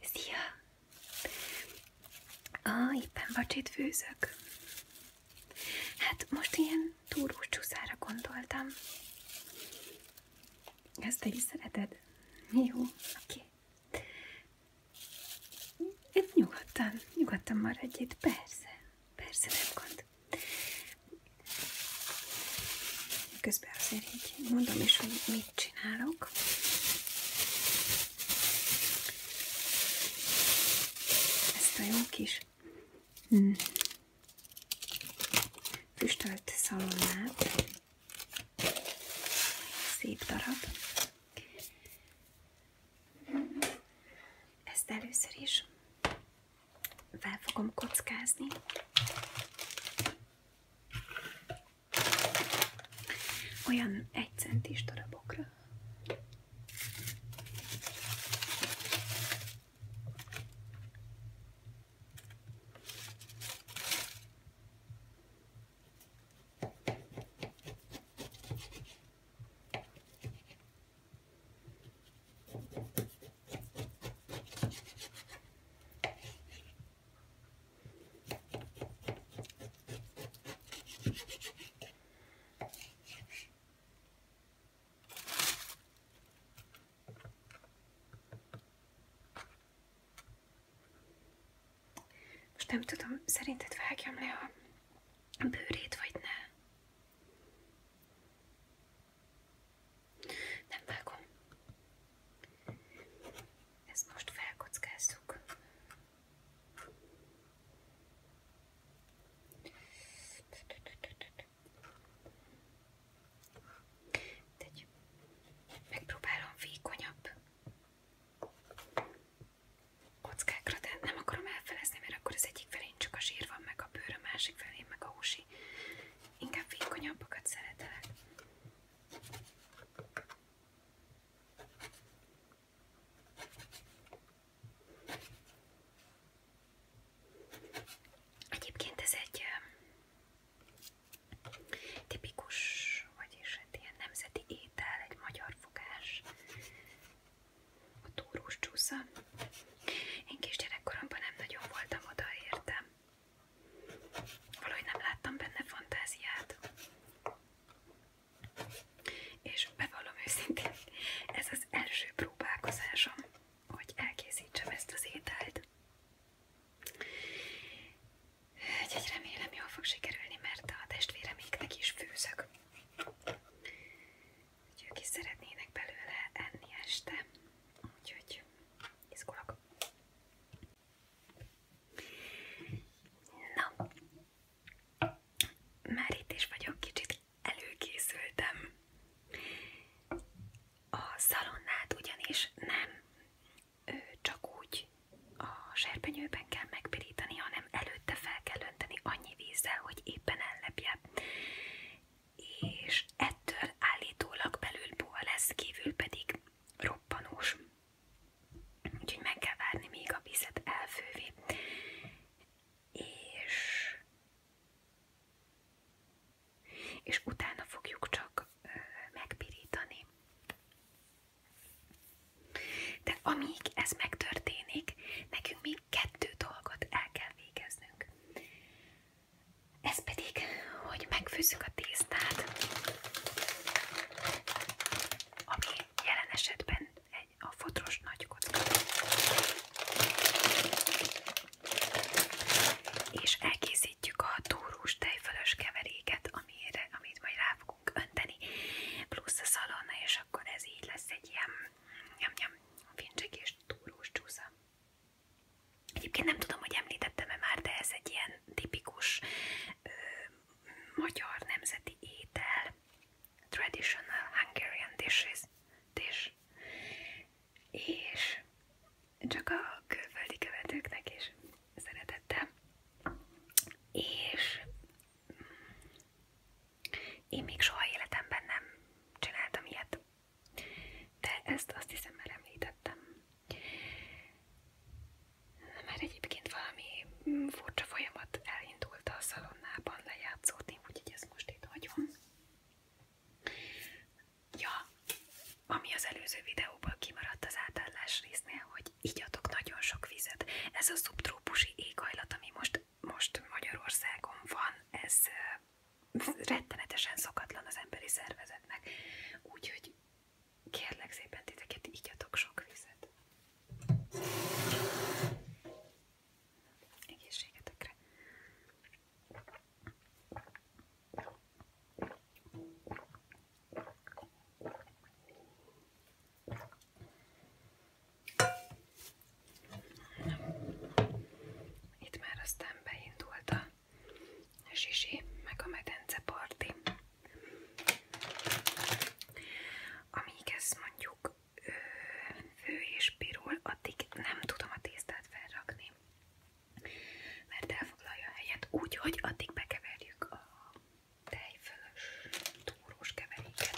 Szia! Ah, éppen vacsét főzök. Hát most ilyen túrós csúszára gondoltam. Ezt te is szereted? Jó, oké. Okay. Nyugodtan, nyugodtan maradj itt, persze. Persze, nem gond. Közben azért így mondom is, hogy mit csinálok. Ezt a jó kis hmm, füstölt szalonnát. Szép darab. Ezt először is fel fogom kockázni. Olyan egy centis darabokra. Most nem tudom, szerinted vágjam le a bőrét, vagy ne? Nem vágom. Ezt most felkockázzuk. Tegy. Megpróbálom vékonyabb kockákra, de nem akarom elfelezni, mert akkor az egyik felén csak a zsír van, meg a bőr, a másik felén meg a húsi. Inkább vékonyabbakat szeretelek. Egyébként ez egy tipikus, vagyis egy hát ilyen nemzeti étel, egy magyar fogás, a túrós csúsza. Én kis gyerekkoromban nem nagyon voltam oda értem. Valahogy nem láttam benne fantáziát. És bevallom őszintén, ez az első próbálkozásom, hogy elkészítsem ezt az ételt. Egy remélem jól fog sikerülni, mert a testvéreméknek is főzök. Úgyhogy ők is szeretnének belőle enni este. Úgyhogy izgulok. Na, már itt is vagyok, kicsit előkészültem. A szalonnát ugyanis nem csak úgy a serpenyőben kell megpirítani, hanem előtte fel kell önteni annyi vízzel, hogy éppen ellepje. És ettől állítólag belül puha lesz, kívül pedig roppanós. Úgyhogy meg kell várni, míg a vizet elfővi. És, és utána fogjuk csak megpirítani. De amíg ez megtörténik, nekünk még kettő dolgot el kell végeznünk. Ez pedig, hogy megfőzzük a tésztát, ami jelen egy a fodros nagy És elkészítjük a túrós tejfölös keveréket, amire, amit majd rá önteni, plusz a szalonna, és akkor ez így egy ilyen nyam-nyam fincsekés túrós csúsza. Egyébként nem tudom, hogy említettem-e már, de ez egy ilyen tipikus ö, magyar nemzeti étel, traditional Hungarian dishes, dish. és csak a külföldi követőknek is szeretettem. És mm, én még soha életemben nem csináltam ilyet, de ezt azt hiszem már említettem. Mert egyébként valami mm, furcsa folyamat elindult a szalonnában lejátszódni, úgyhogy ezt most itt hagyom. Ja, ami az előző videóból kimaradt az átállás résznél, hogy igyatok nagyon sok vizet. Ez a szubtrópusi éghajlat, ami most, most Magyarországon van, ez rettenetesen szokatlan az emberi szervezetnek. Úgyhogy kérlek szépen titeket, igyatok sok vizet. Egészségetekre. Itt már aztán beindult a a zsizsi, meg a medenceparti. Amíg ez mondjuk fő és pirul, addig nem tudom a tésztát felrakni, mert elfoglalja a helyet úgy, hogy addig bekeverjük a tejfölös túrós keveréket.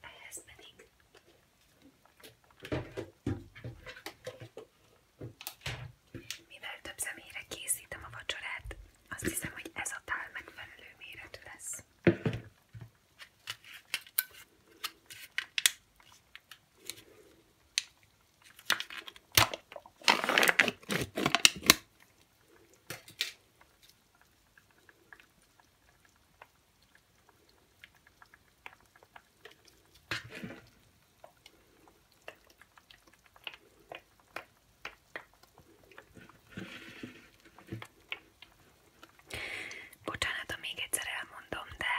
Ehhez pedig mivel több személyre készítem a vacsorát, azt hiszem, hogy ez a tál megfelelő méretű lesz. Bocsánat, ha még egyszer elmondom, de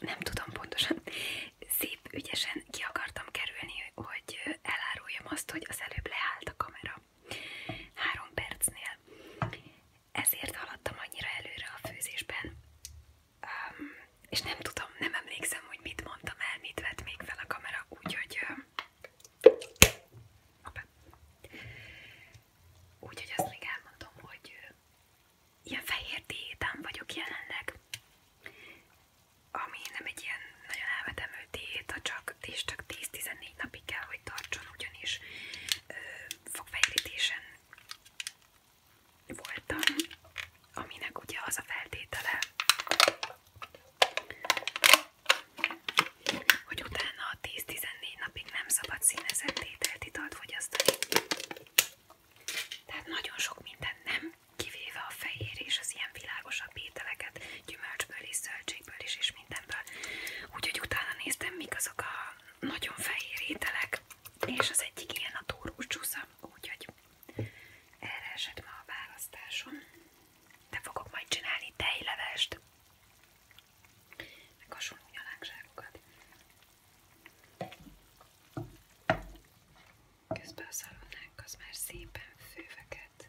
nem tudom pontosan, szép ügyesen ki akartam hogy eláruljam azt, hogy az előbb leállt a kamera három percnél. Ezért haladtam annyira előre a főzésben, um, és nem tudom, nem emlékszem, hogy mit mondtam el, mit vett még fel a kamera, úgyhogy... Uh, úgyhogy azt még elmondom, hogy uh, ilyen fehér diétán vagyok jelenleg, ami nem egy ilyen nagyon elvetemű diéta, csak, és csak 10-14 14 napig kell, hogy tartson, ugyanis ö, fogfejlítésen voltam, aminek ugye az a feltétele, hogy utána 10-14 napig nem szabad színezett ételt, italt fogyasztani. Tehát nagyon sok minden nem, kivéve a fehér és az ilyen világosabb ételeket, gyümölcsből is, zöldségből is, és mindenből. Úgyhogy utána néztem, mik azok a nagyon fehér ételek, és az egyik ilyen a túrós csúsza, úgyhogy erre esett ma a választásom. De fogok majd csinálni tejlevest, meg hasonló nyalánkságokat. Közben a szalonnánk az szépen főveket.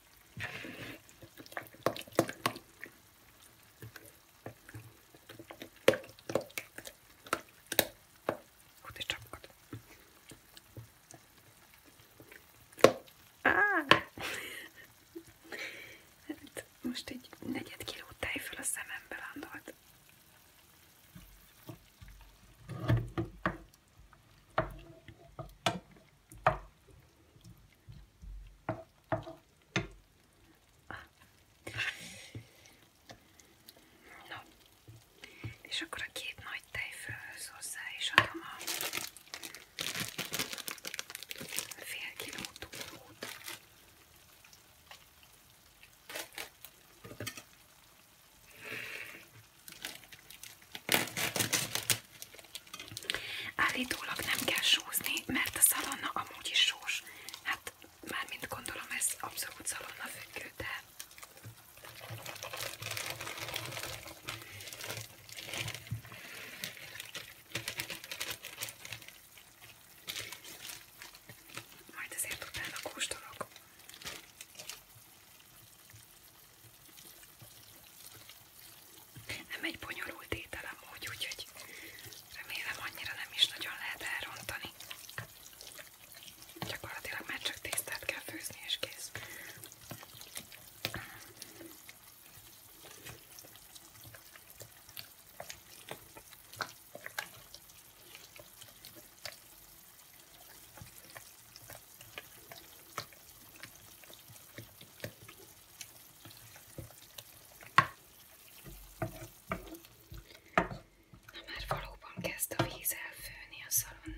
Kuty czapkot. Hát most egy negyed kiló tejföl a szemembe landolt. Na. És akkor a két nagy tejfölhöz hozzá is adom a fél kiló túlót. Állítólag nem kell sózni, mert a szalonna amúgy is sós. Hát mármint gondolom ez abszolút szalonna függő, de... Majd azért utána kóstolok. Nem egy bonyolult ételem úgy, úgyhogy remélem annyira nem is nagyon lehet elrontani. Gyakorlatilag már csak tésztát kell főzni és kész. Na már valóban kezd a víz elfőni a szalonnáról.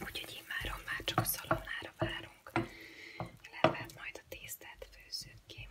Úgyhogy immáron már csak a szalonnára várunk. Levet majd a tésztát főzzük ki.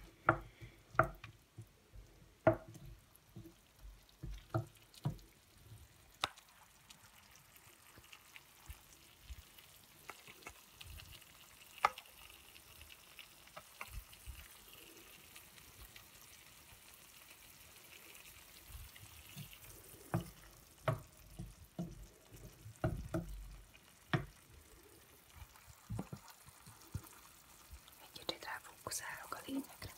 Egy kicsit ráfókuszálok a lényekre.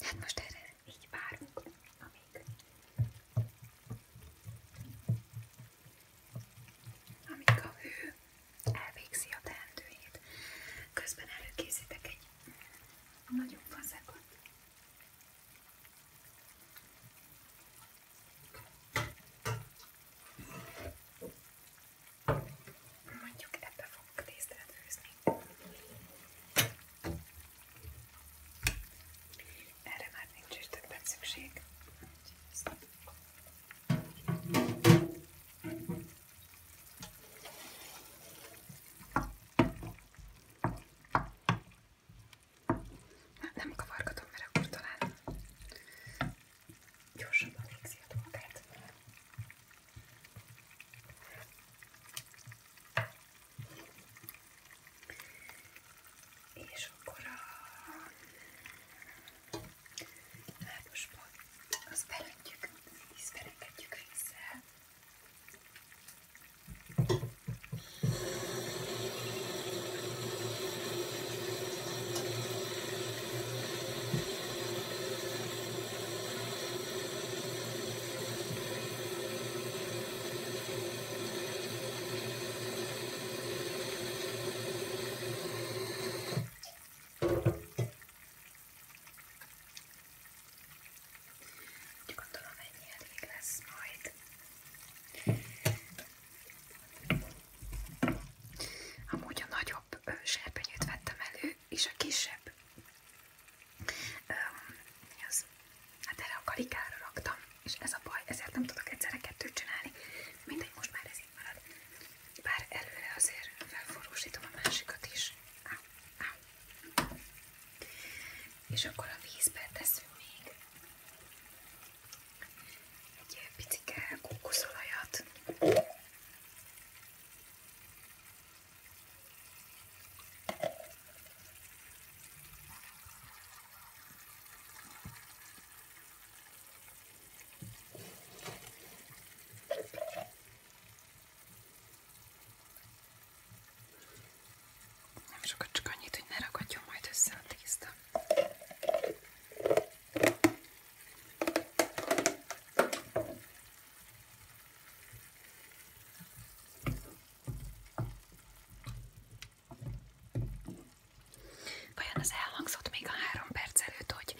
Hát most erre így várunk, amíg, amíg a hő elvégzi a teendőjét. Közben előkészítek egy nagyobb fazekot. Mondjuk ebbe fogok tésztát főzni. Erre már nincs is többet szükség. Nem kavargatom, mert akkor talán gyorsabban végzi a dolgát. És akkor a lábosba azt belöntjük, ízberengetjük vízzel. Úgy gondolom ennyi elég lesz majd. Amúgy a nagyobb serpenyőt vettem elő, és a kisebb. Öm, mi az? Hát erre a karikára raktam, és ez a baj, ezért nem tudok egyszerre kettőt csinálni. Mindegy, most már ez így marad. Bár előre azért felforrósítom a másikat is. Á, á. És akkor a vízbe teszünk még egy ilyen picike kókuszolajat. Nem sokat, csak annyit, hogy ne ragadjon majd össze a tészta. Vajon az elhangzott még a három perc előtt, hogy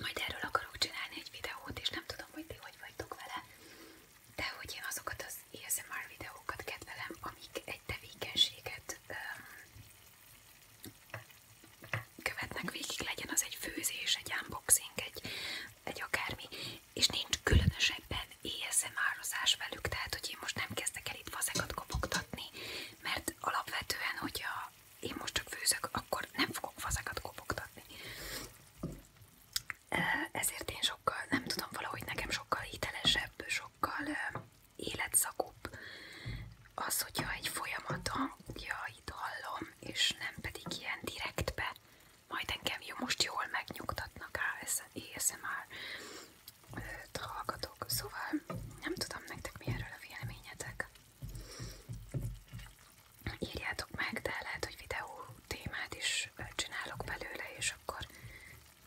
majd erről akarok csinálni egy videót, és nem tudom, hogy ti hogy vagytok vele, de hogy én azokat az ASMR videókat kedvelem, amik egy tevékenységet um, követnek végig, legyen az egy főzés, egy unboxing, egy, egy akármi, és nincs különösebben ASMR-ozás velük, tehát hogy én most nem kezdek el itt fazekat kopogtatni, mert alapvetően, hogyha én most csak főzök, akkor nem fogok fazekat kopogtatni. Ezért én sokkal, nem tudom, valahogy nekem sokkal hitelesebb, sokkal életszakúbb az, hogyha egy folyamat hangjait hallom, és nem pedig ilyen direktbe. Majd engem jó, most jól megnyugtatnak már hallgatok, szóval nem tudom nektek mi erről a véleményetek. Írjátok meg, de lehet, hogy videó témát is csinálok belőle, és akkor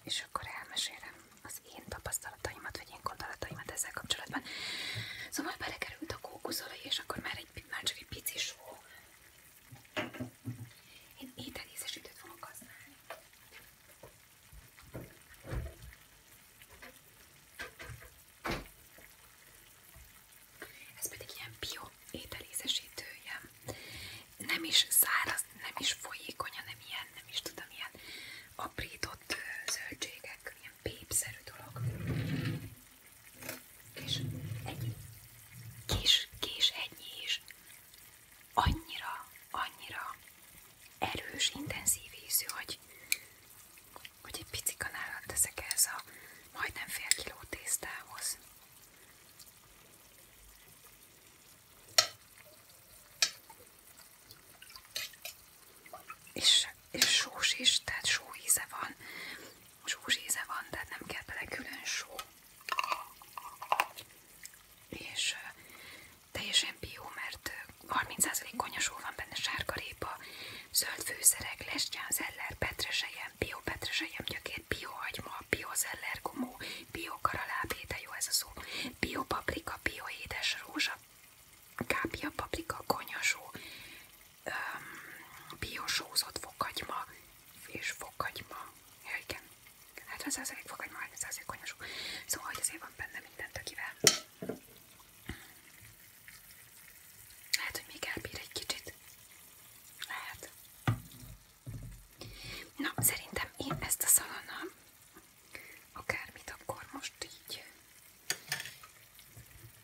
és akkor elmesélem az én tapasztalataimat, vagy én gondolataimat ezzel kapcsolatban. Szóval belekerült a kókuszolaj, és akkor már, egy, már csak egy pici só. Én ételészesítőt fogok használni. Ez pedig ilyen bio ételészesítő, ilyen nem is száraz, nem is folyékony, hanem ilyen, nem is tudom, ilyen aprított zöldségek, ilyen pépszerű dolog. És egy kis, kis hegyi is annyira, annyira erős, intenzív ízű, hogy, hogy egy pici kanálat teszek ehhez a majdnem fél kiló tésztához. És, és sós is, tehát só íze van. Sós íze van, tehát nem kell bele külön só. És teljesen bió, mert 30% konyasó van benne, sárgarépa, zöld főszerek, zeller, petresejem, bio petresejem, gyökér, biohagyma, zeller gumó, karalábé, biokaralá, jó ez a szó, bio paprika, bio édes rózsa, kápia paprika, konyasó, biosózott fokagyma és fokagyma. Ja, igen. Hát ez az elég fokagyma, hát ez azért konyasó. Szóval, hogy azért van benne mindent, akivel. Lehet, hogy még elbír egy kicsit. Lehet. Na, szerintem én ezt a szalonnal akármit, akkor most így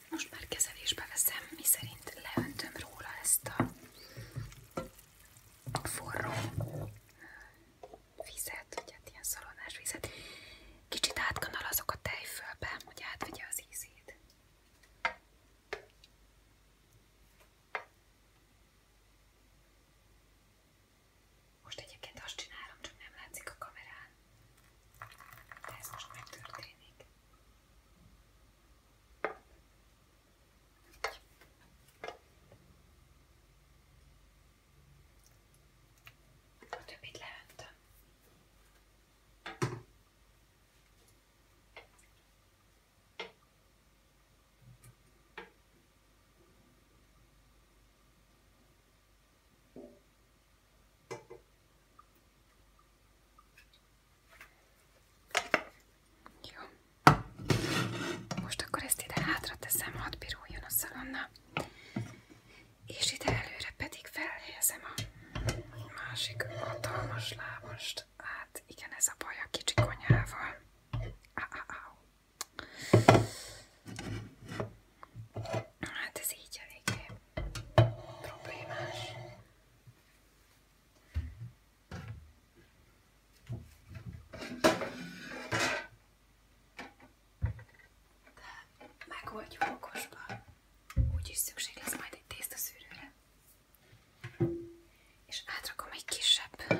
most már kezelésbe veszem, miszerint leöntöm róla ezt a forró vizet, vagy hát ilyen szalonás vizet. Kicsit átkanalazok a tejfölbe, hogy átvegye az ízét. Most egyébként azt csinálom, csak nem látszik a kamerán. De ez most megtörténik. A többit leöntöm. Jó. Most akkor ezt ide hátra teszem, hadd piruljon a szalonna. És ide előre pedig felhelyezem a másik hatalmas lábast. Hát igen, ez a baj a kicsi konyhával. Á, á, á. Hát ez így eléggé problémás. De megoldjuk okosban. Úgyis szükség lesz majd egy tésztaszűrőre. És átrakom egy kisebb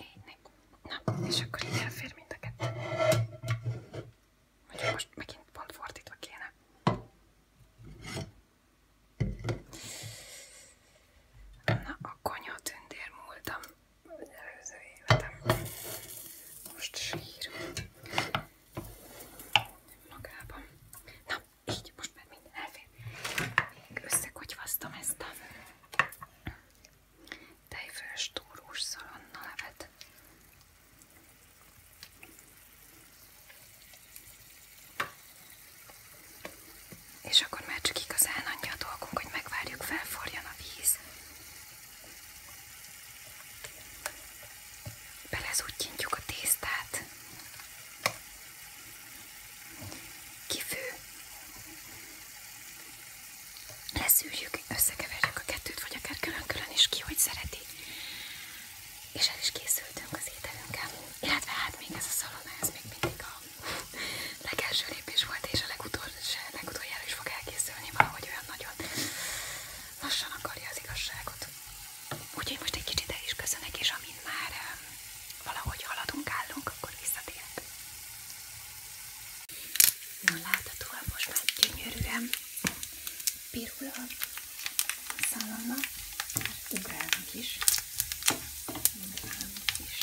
Énnek. Na, és akkor így elfér mind a kettő. Mondjuk most megint pont fordítva kéne. Na, a konyha tündér múltam előző életem. Most sír. Magában. Na, így most már minden elfér. Összekogyvasztom ezt a Tejfölös túrós szalonna levet. És akkor már csak igazán annyi a dolgunk, hogy megvárjuk, felforjan a víz. Belezúgyintjuk a tésztát kifő, leszűrjük, összekeverjük a kettőt, vagy akár külön-külön is ki, hogy szereti. És el is készültünk az ételünkkel, illetve hát még ez a szalona, ez még mindig a legelső lépés volt, és a legutoljára legutol is fog elkészülni, valahogy olyan nagyon lassan akarja az igazságot. Úgyhogy most egy kicsit el is köszönök, és amint már um, valahogy haladunk, állunk, akkor visszatérek. Na láthatóan most már gyönyörűen pirul a szalonna, ugrálnak is, ugrálnak is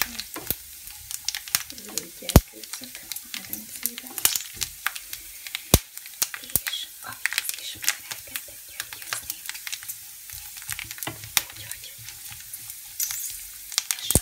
a gyerkőcök medencébe, és ahhoz is már elkezdett gyöngyözni. Úgyhogy most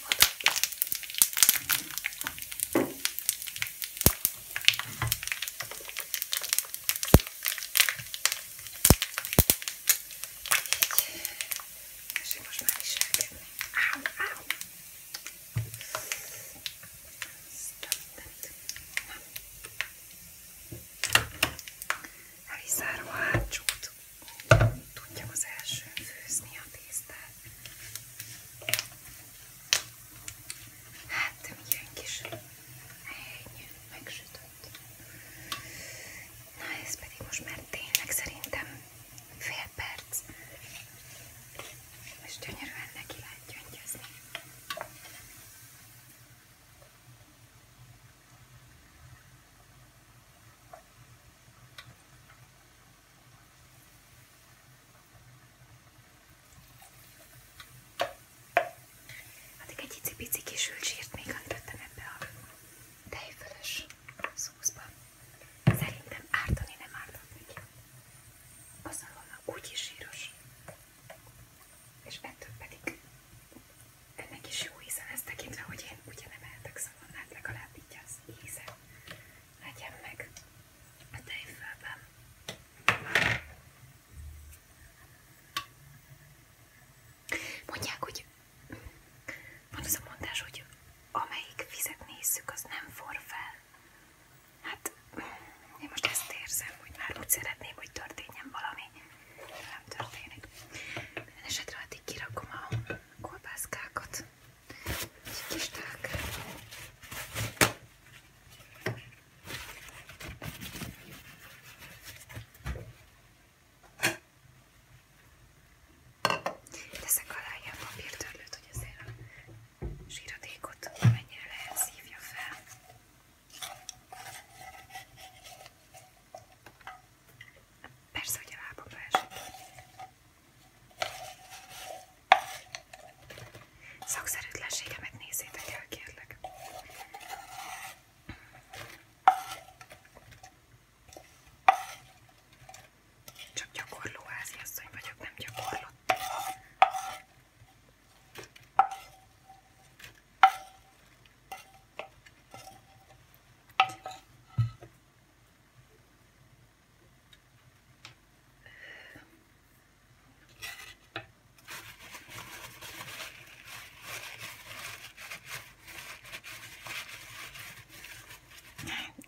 Így, most már is elkezdni. Áú, áú! Elizzárom a hátsót tudjam az elsőn főzni a tésztát. Hát milyen kis hely megsütött. Na ez pedig most már tényleg szerintem fél perc. És gyönyörűen neki lehet gyöngyözni. Addig hát egy icipici kis zsírt még öntöttem ebbe a tejfölös szószba. Szerintem ártani nem ártott neki. Az alonna úgyis zsíros. És ettől pedig ennek is jó íze lesz tekintve, hogy én ugye nem ehetek van, hát legalább így az íze legyen meg a tejfölben. Mondják, hogy van az a mondás, hogy amelyik vizet nézzük, az nem forr fel. Hát én most ezt érzem, hogy már úgy szeretném, hogy történjen valami, nem történik. Minden esetre addig kirakom a kolbászkákat. Gdzieś tak. Teszek alájába a pirdőlőt, hogy azért a zsíradékot mennyire szívja fel. Persze, hogy a lábamra esik. Szakszerűtlenségemet nézzétek el, kérlek. Csak gyakorló háziasszony vagyok, nem gyakorlott.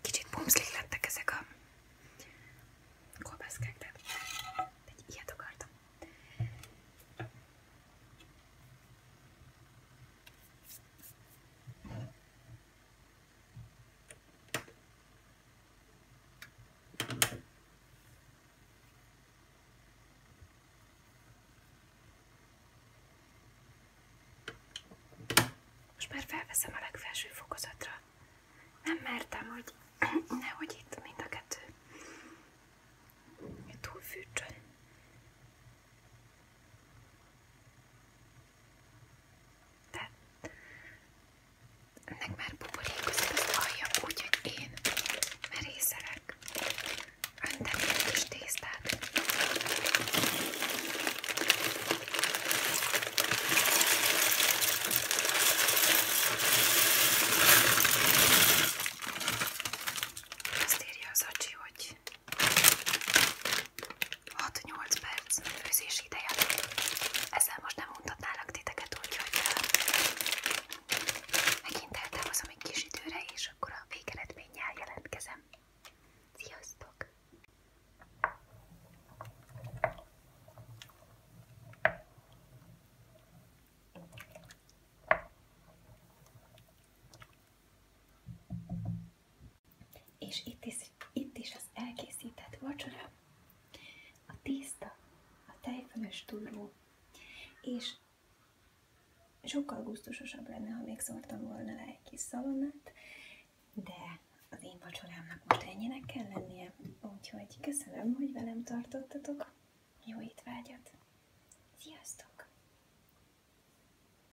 Kicsit pumszlik lettek ezek a kolbászkák, de egy ilyet akartam. Most már felveszem a legfelső fokozatra. Nem mertem, hogy nehogy itt mind a kettő túlfűtsön. De ennek már buborékozik az alja, úgyhogy én merészelek önteni egy kis tésztát. Azt írja az acsi, hogy 6-8 perc főzés ideje. Ezzel most nem mondhatnálak titeket úgy, hogy megint eltávozom egy kis időre, és akkor a végeredménnyel jelentkezem. Sziasztok! És itt is, itt is az elkészített vacsora, a tészta, a tejfölös túró, és sokkal gusztusosabb lenne, ha még szórtam volna le egy kis szalonnát, de az én vacsorámnak most ennyinek kell lennie, úgyhogy köszönöm, hogy velem tartottatok, jó itt étvágyat, sziasztok!